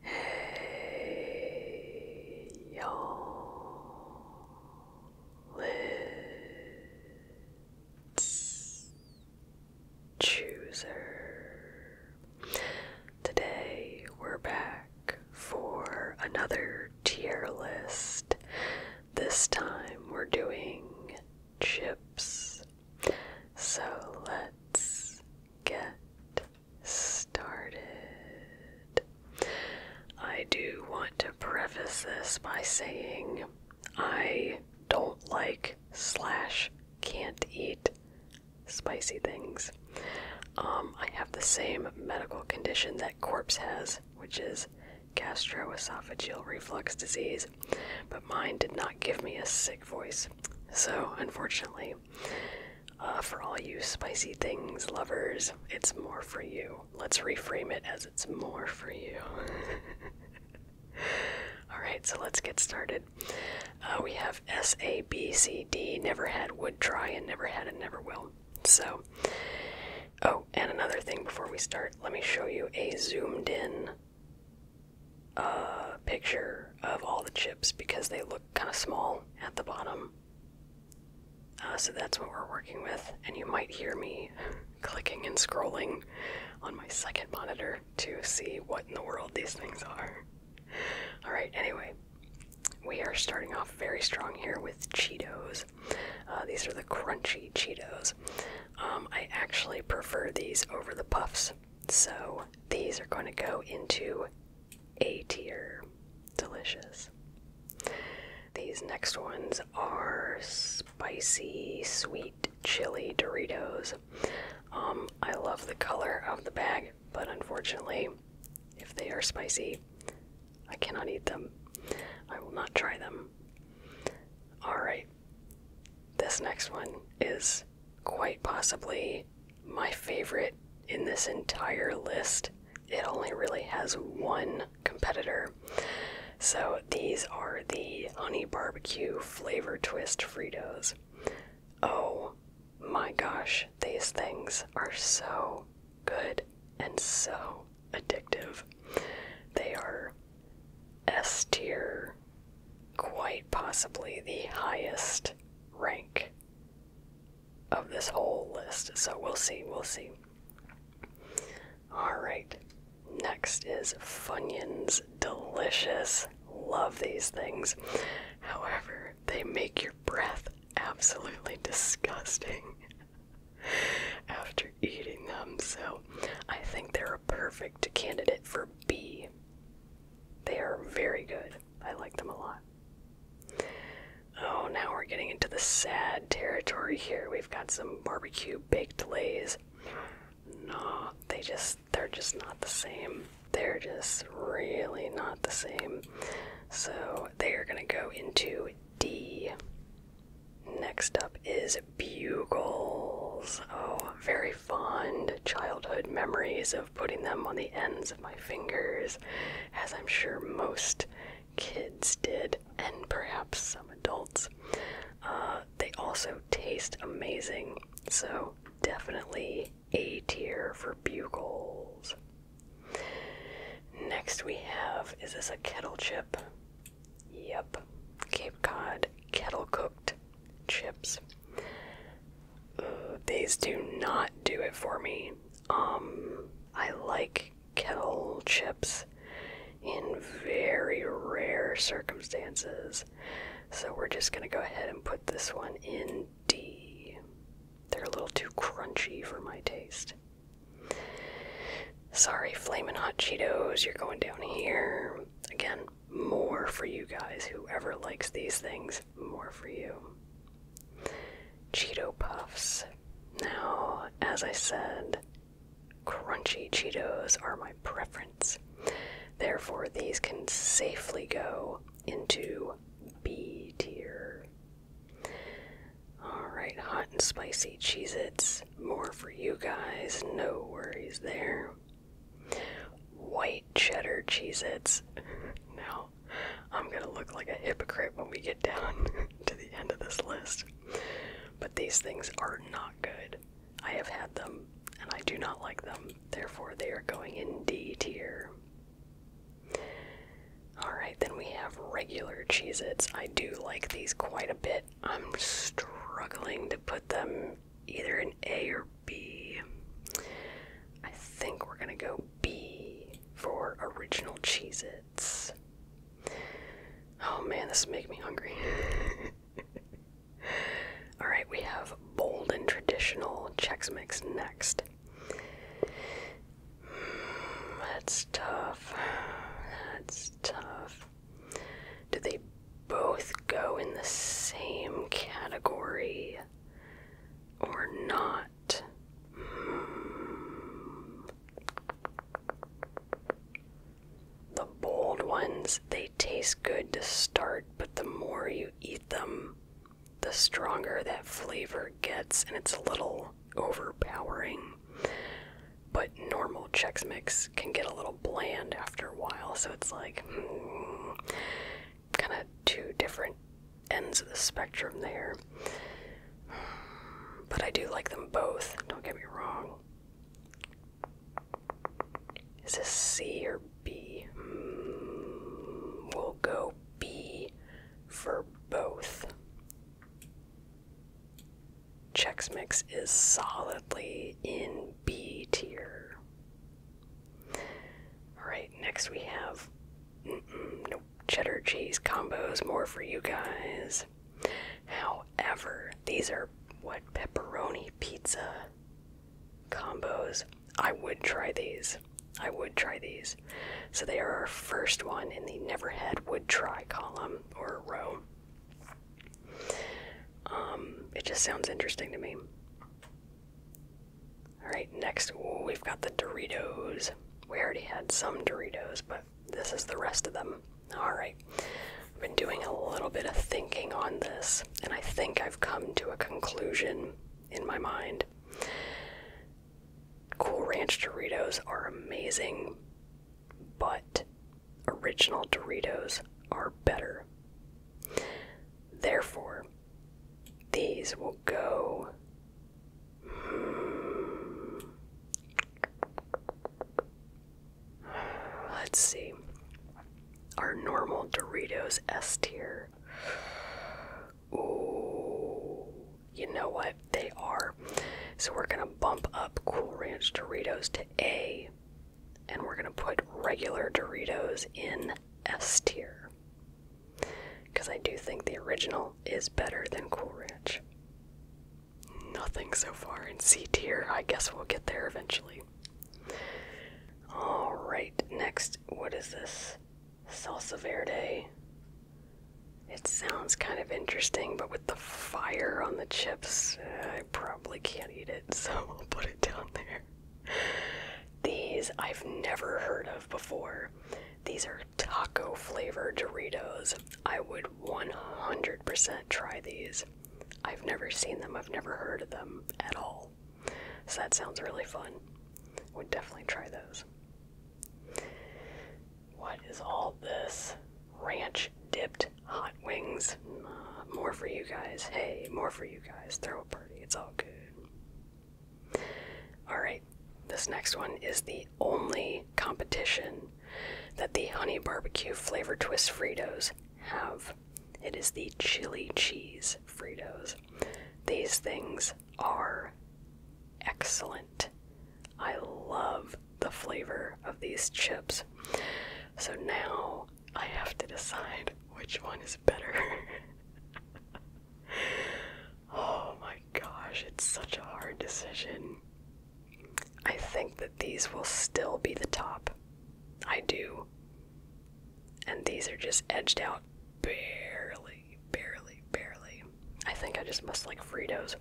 Hey, you Let's chooser. Today we're back for another tier list. This time we're doing chips. So let's get started started. I do want to preface this by saying I don't like slash can't eat spicy things. Um, I have the same medical condition that Corpse has, which is gastroesophageal reflux disease, but mine did not give me a sick voice. So, unfortunately, uh, for all you spicy things lovers, it's more for you. Let's reframe it as it's more for you. Alright, so let's get started. Uh, we have S, A, B, C, D, never had, would try, and never had, and never will. So, oh, and another thing before we start, let me show you a zoomed in uh, picture of all the chips because they look kind of small at the bottom. Uh, so that's what we're working with, and you might hear me clicking and scrolling on my second monitor to see what in the world these things are. Alright, anyway, we are starting off very strong here with Cheetos. Uh, these are the crunchy Cheetos. Um, I actually prefer these over the puffs, so these are going to go into a tier. Delicious. These next ones are spicy sweet chili Doritos. Um, I love the color of the bag, but unfortunately, if they are spicy, I cannot eat them. I will not try them. Alright, this next one is quite possibly my favorite in this entire list. It only really has one competitor. So these are the honey barbecue flavor twist Fritos. Oh my gosh, these things are so good and so addictive. They are S quite possibly the highest rank of this whole list. So we'll see, we'll see. Alright, next is Funyuns Delicious. Love these things. However, they make your breath absolutely disgusting after eating them, so I think they're a perfect candidate for B. They are very good. I like them a lot. Oh, now we're getting into the sad territory here. We've got some barbecue baked lays. No, they just they're just not the same. They're just really not the same. So they are gonna go into D. Next up is bugles. Oh, very fond childhood memories of putting them on the ends of my fingers, as I'm sure most kids did, and perhaps some adults. Uh, they also taste amazing, so definitely A tier for bugles. Next, we have is this a kettle chip? Yep, Cape Cod kettle cooked chips these do not do it for me. Um, I like kettle chips in very rare circumstances. So we're just gonna go ahead and put this one in D. They're a little too crunchy for my taste. Sorry, flaming Hot Cheetos, you're going down here. Again, more for you guys. Whoever likes these things, more for you. Cheeto Puffs. Now, as I said, crunchy Cheetos are my preference. Therefore, these can safely go into B tier. Alright, hot and spicy Cheez Its. More for you guys, no worries there. White cheddar Cheez Its. now, I'm gonna look like a hypocrite when we get down to the end of this list. But these things are not good. I have had them and I do not like them. Therefore, they are going in D tier. Alright, then we have regular Cheez Its. I do like these quite a bit. I'm struggling to put them either an A or B. I think we're gonna go B for original Cheez Oh man, this is making me hungry. Alright, we have bold and traditional Chex Mix next. Hmm, that's tough. That's tough. Do they both go in the same category? or not? The bold ones, they taste good to start, but the more you eat them, the stronger that flavor gets, and it's a little overpowering. But normal Chex Mix can get a little bland after a while, so it's like, hmm, kind of two different ends of the spectrum there. But I do like them both, don't get me wrong. Is this C or B? Hmm, we'll go B for both. Chex Mix is solidly in B tier. Alright, next we have no cheddar cheese combos, more for you guys. However, these are what pepperoni pizza combos. I would try these. I would try these. So they are our first one in the never had would try column or row. Um, it just sounds interesting to me. Alright, next we've got the Doritos. We already had some Doritos, but this is the rest of them. Alright, I've been doing a little bit of thinking on this, and I think I've come to a conclusion in my mind. Cool Ranch Doritos are amazing, but original Doritos are better. Therefore, these will go. Hmm, let's see. Our normal Doritos S tier. Ooh, you know what? They are. So we're gonna bump up Cool Ranch Doritos to A and we're gonna put regular Doritos in S tier. Because I do think the original is better than Cool Ranch. Nothing so far in C tier. I guess we'll get there eventually. Alright, next, what is this? Salsa Verde. It sounds kind of interesting, but with the fire on the chips, I probably can't eat it, so I'll put it down there. These I've never heard of before. These are taco flavored Doritos. I would 100% try these. I've never seen them, I've never heard of them at all. So that sounds really fun. Would definitely try those. What is all this? Ranch dipped hot wings. more for you guys. Hey, more for you guys. Throw a burger. It's all good. Alright, this next one is the only competition that the honey barbecue flavor twist Fritos have. It is the chili cheese Fritos. These things are excellent. I love the flavor of these chips. So now I have to decide which one is better. oh my gosh, it's such a hard decision. I think that these will still be the top. I do. And these are just edged out barely, barely, barely. I think I just must like Fritos.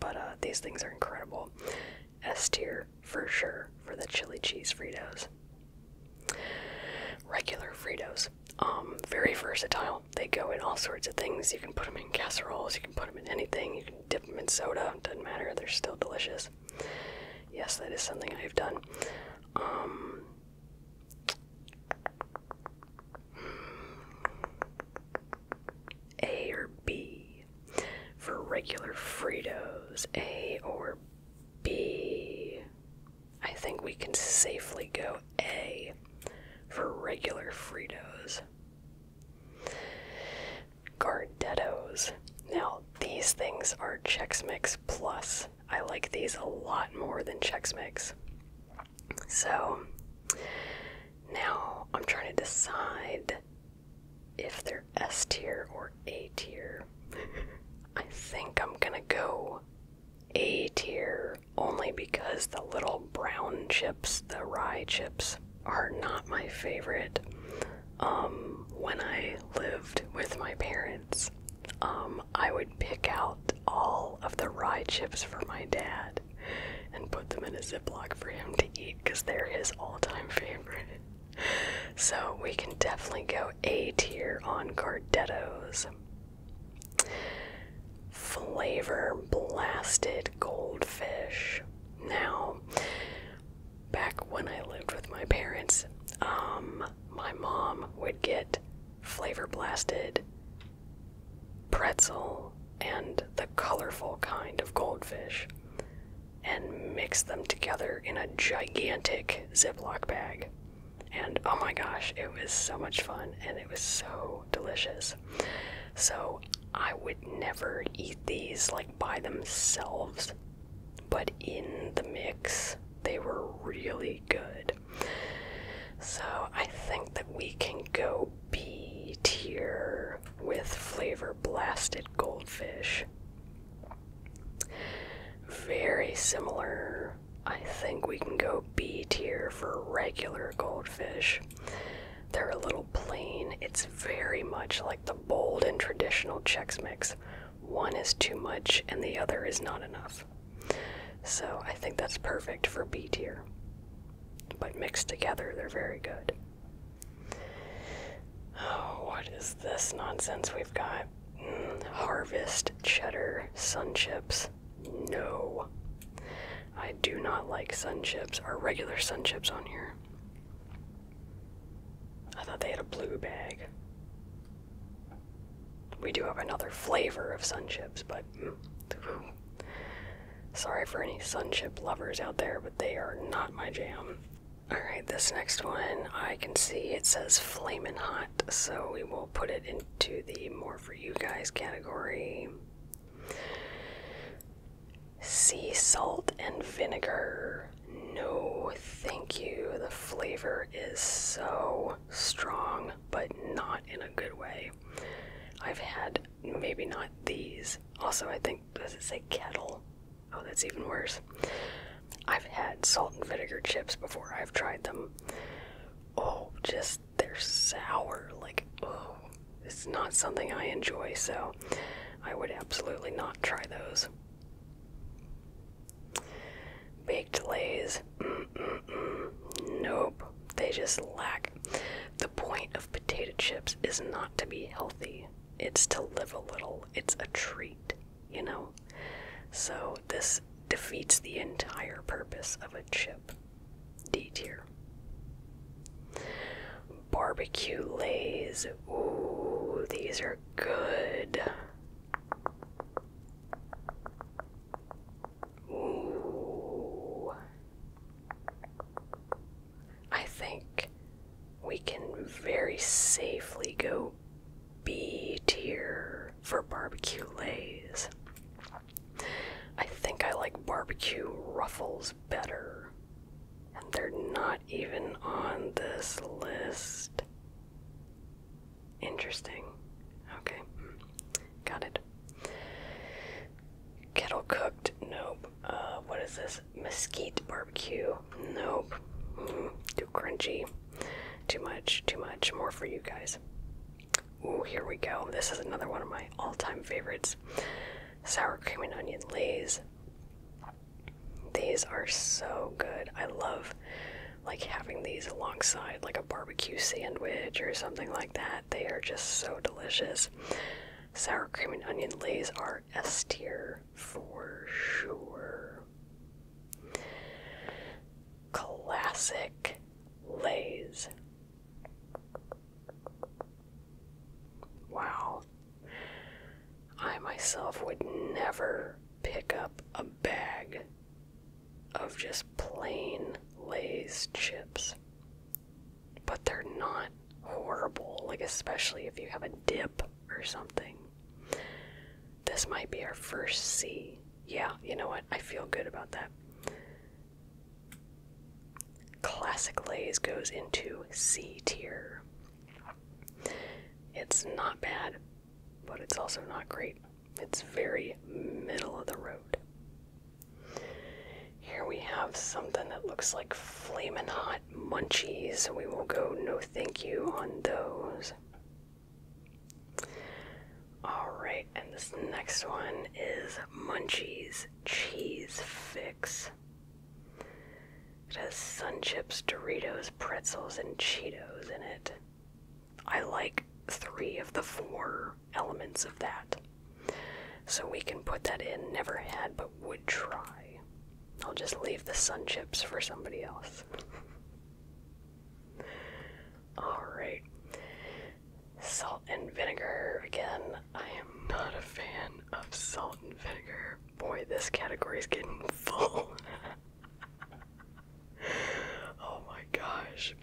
But uh, these things are incredible. S for sure for the chili cheese Fritos. Regular Fritos. Um, very versatile. They go in all sorts of things. You can put them in casseroles, you can put them in anything, you can dip them in soda, doesn't matter, they're still delicious. Yes, that is something I've done. Um, a or B for regular Fritos, A or B. I think we can safely go A for regular Fritos. Gardettos. Now, these things are Chex Mix Plus. I like these a lot more than Chex Mix. So, now I'm trying to decide if they're S tier or A tier. I think I'm gonna go A tier only because the little brown chips, the rye chips, are not my favorite. Um, when I lived with my parents, um, I would pick out all of the rye chips for my dad and put them in a Ziploc for him to eat because they're his all time favorite so we can definitely go A tier on Gardettos. Flavor blasted goldfish. Now, back when I lived with my parents, um, my mom would get flavor blasted pretzel and the colorful kind of goldfish and mix them together in a gigantic Ziploc bag. And oh my gosh, it was so much fun and it was so delicious. So I would never eat these like by themselves, but in the mix, they were really good. So I think that we can go B tier with flavor blasted goldfish very similar. I think we can go B tier for regular goldfish. They're a little plain. It's very much like the bold and traditional checks Mix. One is too much and the other is not enough. So I think that's perfect for B tier. But mixed together, they're very good. Oh, what is this nonsense we've got? Mm, harvest cheddar sun chips. No. I do not like sun chips. Are regular sun chips on here? I thought they had a blue bag. We do have another flavor of sun chips, but mm, sorry for any sun chip lovers out there, but they are not my jam. Alright, this next one I can see it says flaming Hot, so we will put it into the More For You Guys category. Sea salt and vinegar. No, thank you. The flavor is so strong, but not in a good way. I've had maybe not these. Also, I think, does it say kettle? Oh, that's even worse. I've had salt and vinegar chips before. I've tried them. Oh, just they're sour. Like, oh, it's not something I enjoy, so I would absolutely not try those. Baked lays. Nope. They just lack. The point of potato chips is not to be healthy, it's to live a little. It's a treat you know? So this defeats the entire purpose of a chip. D tier. Barbecue lays. Ooh, these are good. Ooh. I think we can very safely go B tier for barbecue lays. I think I like barbecue ruffles better. And they're not even on this list. Interesting. Okay. Got it. Kettle cooked. Nope. Uh, what is this? mesquite barbecue. Nope. Mm-hmm. too crunchy. Too much, too much. More for you guys. Ooh, here we go. This is another one of my all time favorites sour cream and onion lays. These are so good. I love like having these alongside like a barbecue sandwich or something like that. They are just so delicious. Sour cream and onion lays are S tier for sure. Classic Lays. Wow. I myself would never pick up a bag of just plain Lay's chips. But they're not horrible, like, especially if you have a dip or something. This might be our first C. Yeah, you know what? I feel good about that. Classic Lays goes into C tier. It's not bad, but it's also not great. It's very middle of the road. Here we have something that looks like flaming hot munchies, we will go no thank you on those. Alright, and this next one is Munchies Cheese Fix. It has Sun Chips, Doritos, pretzels, and Cheetos in it. I like three of the four elements of that. So we can put that in. Never had, but would try. I'll just leave the sun chips for somebody else. Alright. Salt and vinegar again. I am not a fan of salt and vinegar. Boy, this category is getting full. oh my gosh.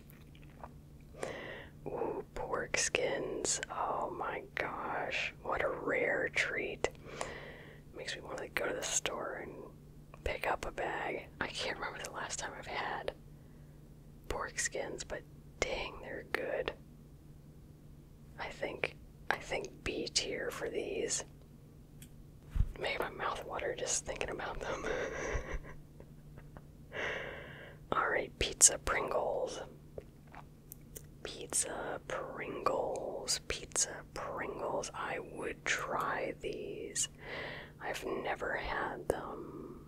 Ooh, pork skins. Oh my gosh. What a rare treat makes me want to go to the store and pick up a bag. I can't remember the last time I've had pork skins, but dang, they're good. I think I think B tier for these. Made my mouth water just thinking about them. Alright, pizza Pringles. Pizza Pringles, Pizza Pringles. I would try these. I've never had them.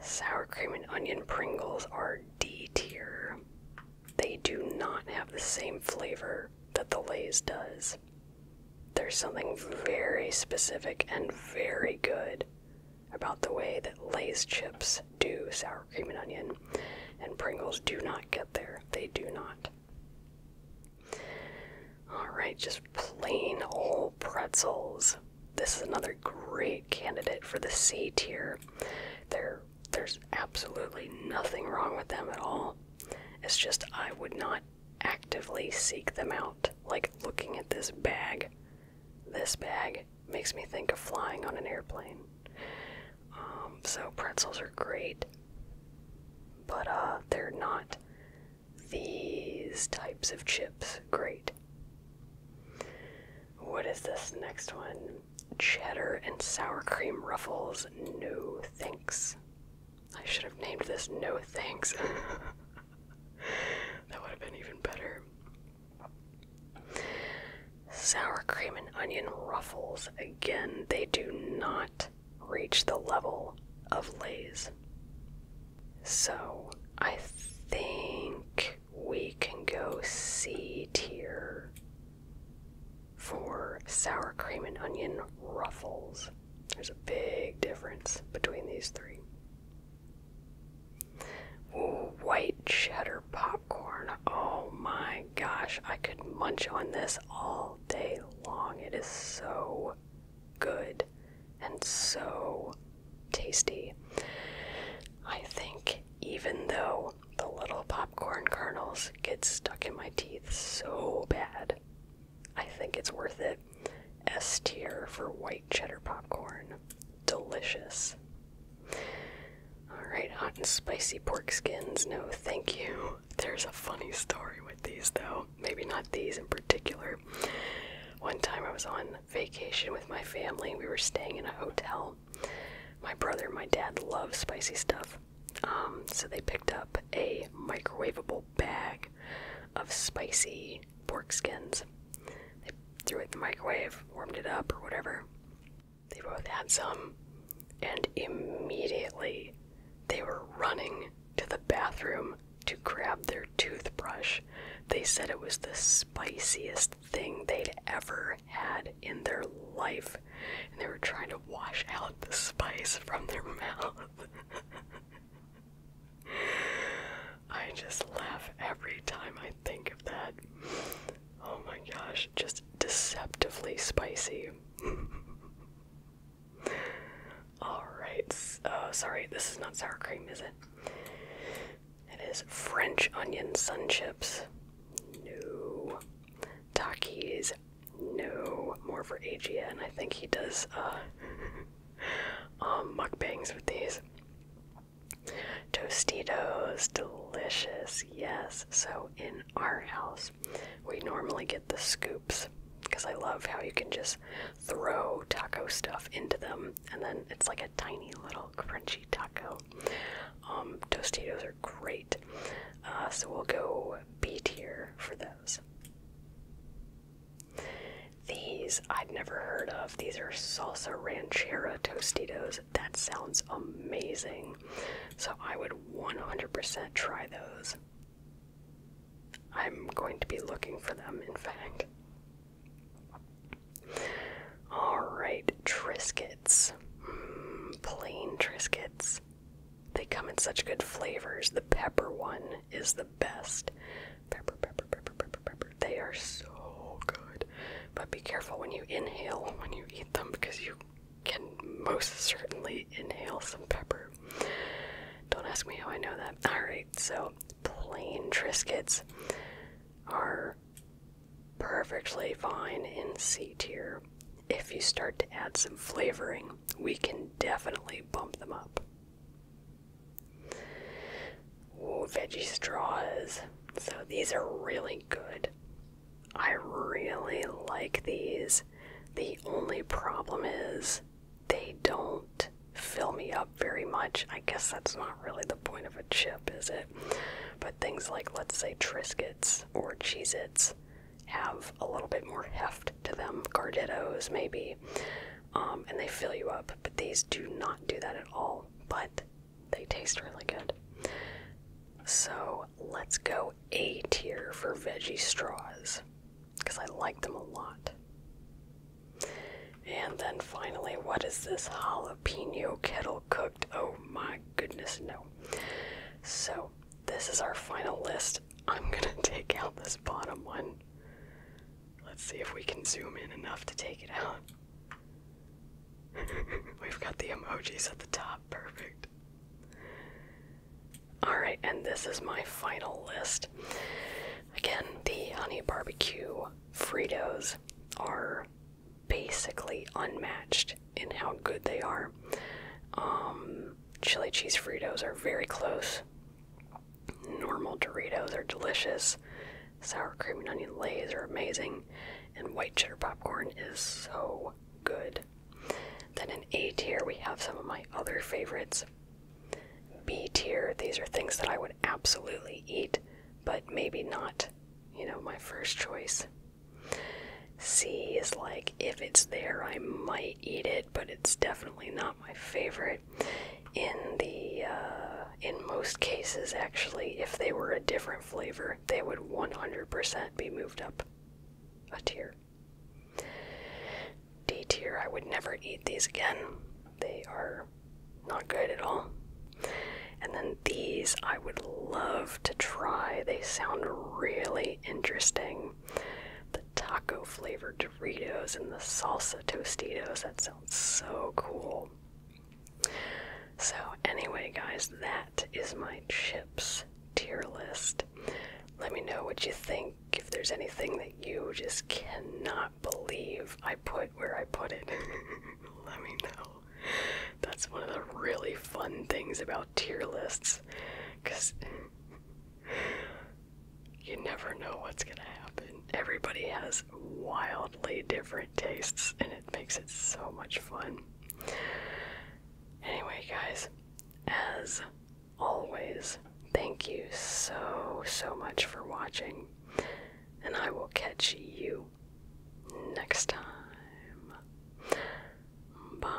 Sour cream and onion Pringles are D tier. They do not have the same flavor that the Lay's does. There's something very specific and very good about the way that Lay's chips do sour cream and onion, and Pringles do not get there. They do not. Alright, just plain old pretzels. This is another great candidate for the C tier. they there's absolutely nothing wrong with them at all. It's just I would not actively seek them out. Like looking at this bag, this bag, makes me think of flying on an airplane. Um, so pretzels are great, but uh, they're not these types of chips great. What is this next one? Cheddar and sour cream ruffles. No thanks. I should have named this No Thanks. that would have been even better. Sour cream and onion ruffles, again, they do not reach the level of Lay's. So I think we can go C tier for sour cream and onion ruffles. There's a big difference between these three white cheddar popcorn. Oh my gosh, I could munch on this all day long. It is so good and so tasty. I think even though the little popcorn kernels get stuck in my teeth so bad, I think it's worth it. S tier for white cheddar popcorn. Delicious. Alright, hot and spicy pork skins. No, thank you. There's a funny story with these, though. Maybe not these in particular. One time I was on vacation with my family. We were staying in a hotel. My brother and my dad love spicy stuff. Um, so they picked up a microwavable bag of spicy pork skins. They threw it in the microwave, warmed it up, or whatever. They both had some, and immediately they were running to the bathroom to grab their toothbrush. They said it was the spiciest thing they'd ever had in their life, and they were trying to wash out the spice from their mouth. I just laugh every time I think of that. Oh my gosh, just deceptively spicy. Alright, uh, sorry, this is not sour cream, is it? It is French onion sun chips. No. Takis. No. More for and I think he does uh, um, mukbangs with these. Tostitos, delicious, yes. So, in our house, we normally get the scoops because I love how you can just throw taco stuff into them and then it's like a tiny little crunchy taco. Um, Tostitos are great, uh, so we'll go B tier for those. These I'd never heard of. These are salsa ranchera Tostitos that sounds amazing. So I would 100% try those. I'm going to be looking for them, in fact. Alright, Triscuits. Mm, plain Triscuits. They come in such good flavors. The pepper one is the best. Pepper, pepper, pepper, pepper, pepper. They are so good. But be careful when you inhale when you eat them because you can most certainly inhale some pepper. Don't ask me how I know that. Alright, so plain Triscuits are perfectly fine in C tier. If you start to add some flavoring, we can definitely bump them up. Ooh, veggie straws. So these are really good. I really like these. The only problem is they don't fill me up very much. I guess that's not really the point of a chip, is it? But things like, let's say, Triscuits or Cheez have a little bit more heft to them, Carditos maybe, um, and they fill you up. But these do not do that at all. But they taste really good. So let's go A tier for veggie straws because I like them a lot. And then finally, what is this jalapeno kettle cooked? Oh my goodness, no. So, this is our final list. I'm gonna take out this bottom one. Let's see if we can zoom in enough to take it out. We've got the emojis at the top. Perfect. Alright, and this is my final list. Again, the honey barbecue Fritos are basically unmatched in how good they are. Um, chili cheese Fritos are very close. Normal Doritos are delicious. Sour cream and onion lays are amazing, and white cheddar popcorn is so good. Then in A tier, we have some of my other favorites. B tier, these are things that I would absolutely eat, but maybe not, you know, my first choice. C is like, if it's there, I might eat it, but it's definitely not my favorite. In the, uh, in most cases, actually, if they were a different flavor, they would 100% be moved up a tier. D tier, I would never eat these again. They are not good at all. And then these I would love to try. They sound really interesting. The taco flavored Doritos and the salsa Tostitos, that sounds so cool. So, anyway, guys, that is my chips tier list. Let me know what you think. If there's anything that you just cannot believe I put where I put it, let me know. That's one of the really fun things about tier lists because you never know what's going to happen. Everybody has wildly different tastes and it makes it so much fun. Anyway, guys, as always, thank you so, so much for watching, and I will catch you next time. Bye.